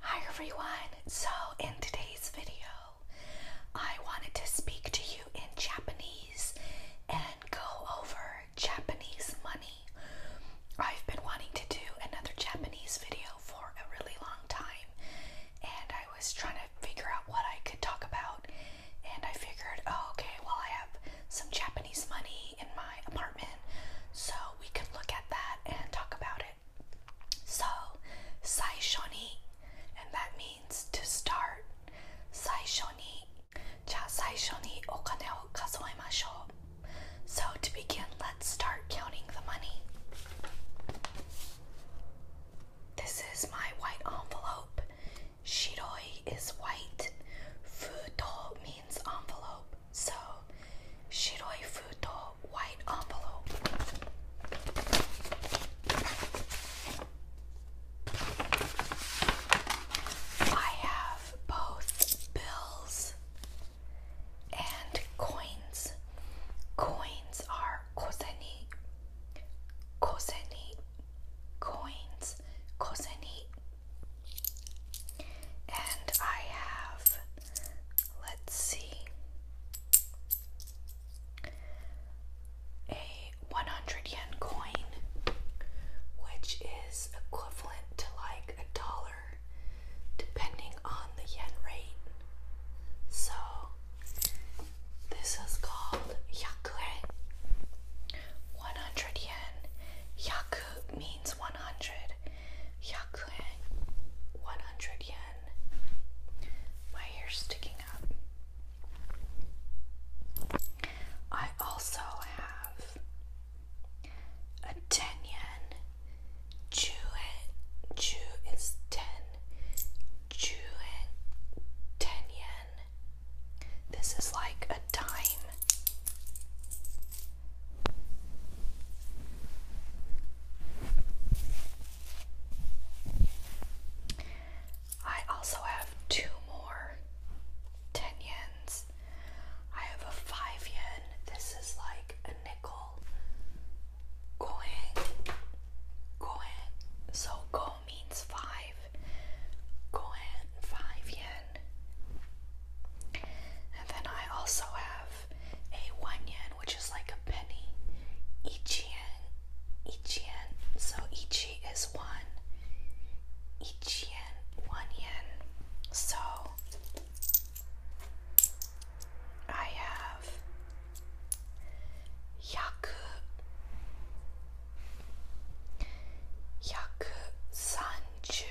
Hi everyone! So, in today's video, I wanted to speak to you in Japanese and go over Japanese money. I've been wanting to do another Japanese video for a really long time, and I was trying to figure out what I could talk about, and I figured, oh, okay, well, I have some Japanese money in my apartment, so we can look at that and talk about it it. So, Saishoni, and that means to start. Saishoni. Ja, Saishoni okane o kasoemashou. So, to begin, let's start counting the money. This is my white envelope. Shiroi is white. Futo means envelope. So, shiroi futo, white envelope. I have both bills and coins. Coins are kozeni, kozeni, coins, kozeni. And I have Let's see. A 100 yen coin, which is equivalent to like a dollar, depending on the yen rate. So, this is called yakure. 100 yen. Yaku means 100 yakuen, 100 yen. My hair's sticking up. I also have a 10 yen. Ju, ju is 10. Ju, 10 yen. This is like a dime. I also have two more 10 yens. I have a 5 yen. This is like a nickel. Koen. Koen. So go means 5. Koen 5 yen. And then I also have a one yen, which is like a penny. Ichien, ichien. So ichi is one. Ichien, yen, one yen. So I have yaku, yaku sanju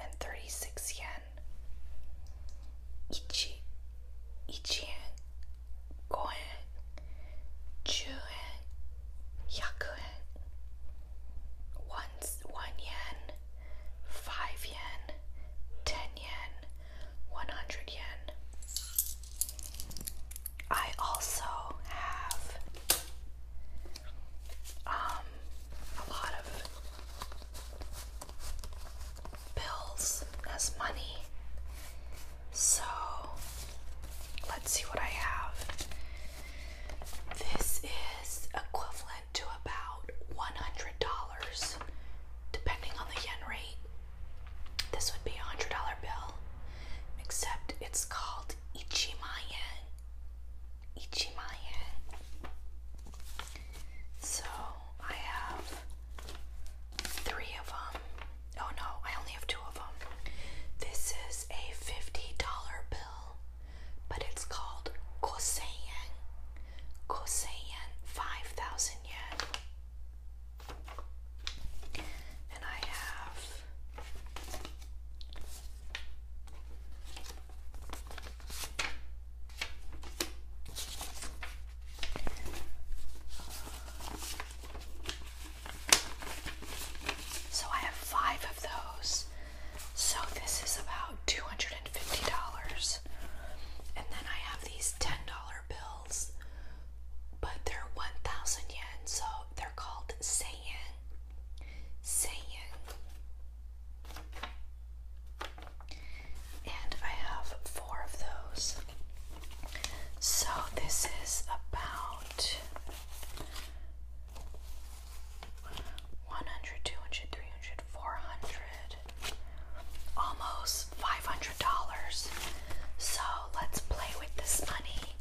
And thirty-six yen. One, one yen, five yen, ten yen, one hundred yen. I also have um, a lot of bills as money. So let's see what I have. This is equivalent to about $100 depending on the yen rate. This would be a $100 bill, except it's called Ichimayen. Ichimaya. So I have three of them. Oh no, I only have two of them. This is a $50 bill, but it's called Koseyen. Koseyen, 5,000 yen. And I have so I have five of those. So this is about $250. And then I have these $10 bills, but they're 1,000 yen, so they're called Seiyan. Seiyan. And I have four of those. So this is about 100, 200, 300, 400, almost $500. So let's play with this money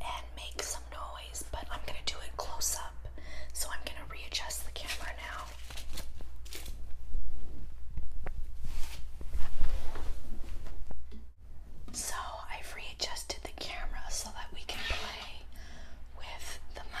and make some noise but I'm going to do it close up. So I'm going to readjust the camera now. So I've readjusted the camera so that we can play with the money.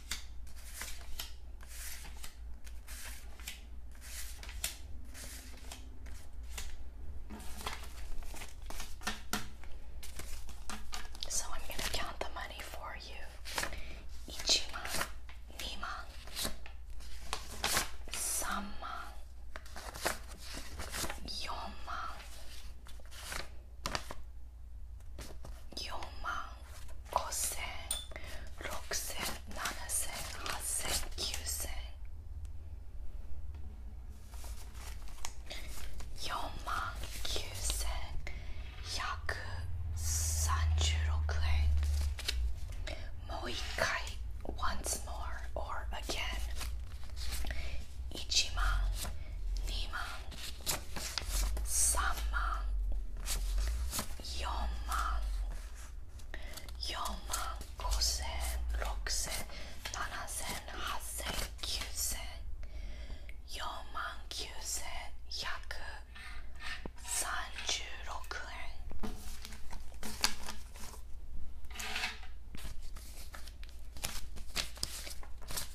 So I'm going to count the money for you. Ichima, Nima, Samman, Yonman, Yoman, Kosen, Roksen, Nanasen, Hasen, Kyusen. Yoman, Kyusen, once more or again. Ichiman, 3万4万4万5千6千7千8千9千4万9千136円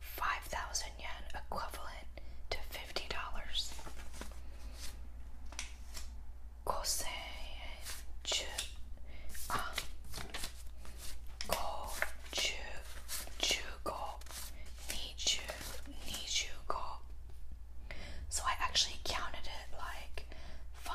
5,000 yen equivalent to $50. Kosenju, ah, go, ju, ju, go, ni, ju, ni, ju, go. So I actually counted it like 5,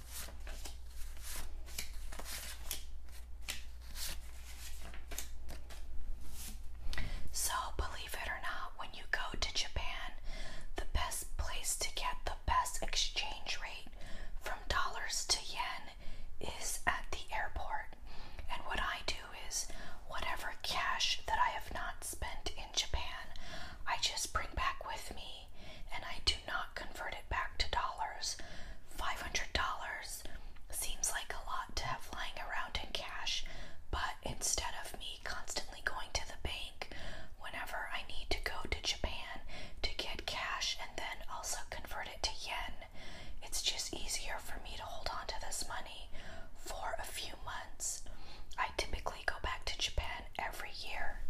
So, believe it or not, when you go to Japan, the best place to get the best exchange rate from dollars to yen is at the airport. And what I do is whatever cash that I have not spent in Japan, I just bring back with me and I do not convert it back to dollars. $500 seems like a lot to have lying around in cash, but instead of me constantly going to the bank whenever I need to go to Japan to get cash and then also convert it to yen, it's just easier for me to hold on to this money for a few months. I typically go back to Japan every year.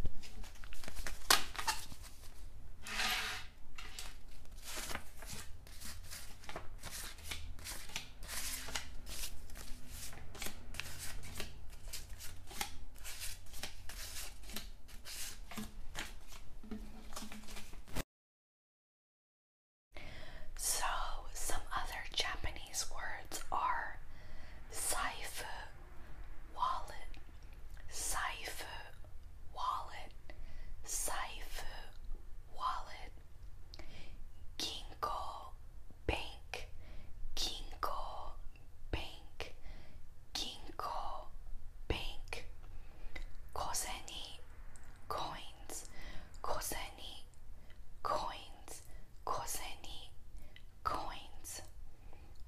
So, some other Japanese words are saifu wallet, cipher, wallet, cipher, wallet, ginkgo, bank, ginkgo, bank, ginkgo, bank, kozeni, coins, kozeni, coins, kozeni, coins,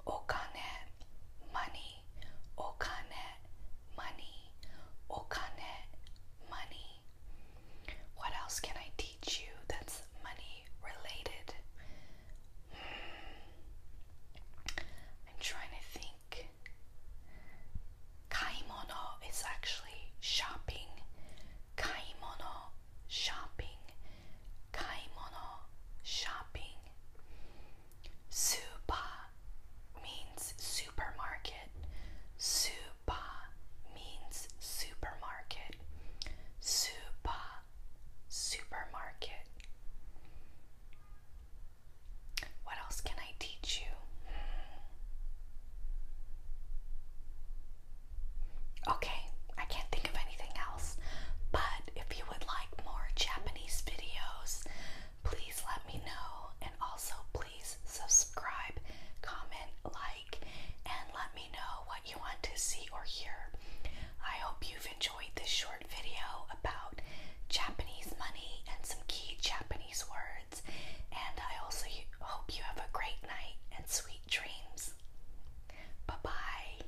okane, money money, okane, money, okane, money. What else can I teach you that's money related? Hmm. I'm trying to think. Kaimono is actually shopping. Kaimono, shopping. Kaimono, shopping. Supa means supermarket. Supa means supermarket. Supa, supermarket. What else can I teach you? Okay, I can't think of anything else, but if you would like more Japanese videos, please let me know. And also, please subscribe, comment, like, and let me know what you want to see or hear. I hope you've enjoyed this short video about Japanese money and some key Japanese words. And I also hope you have a great night and sweet dreams. Bye bye.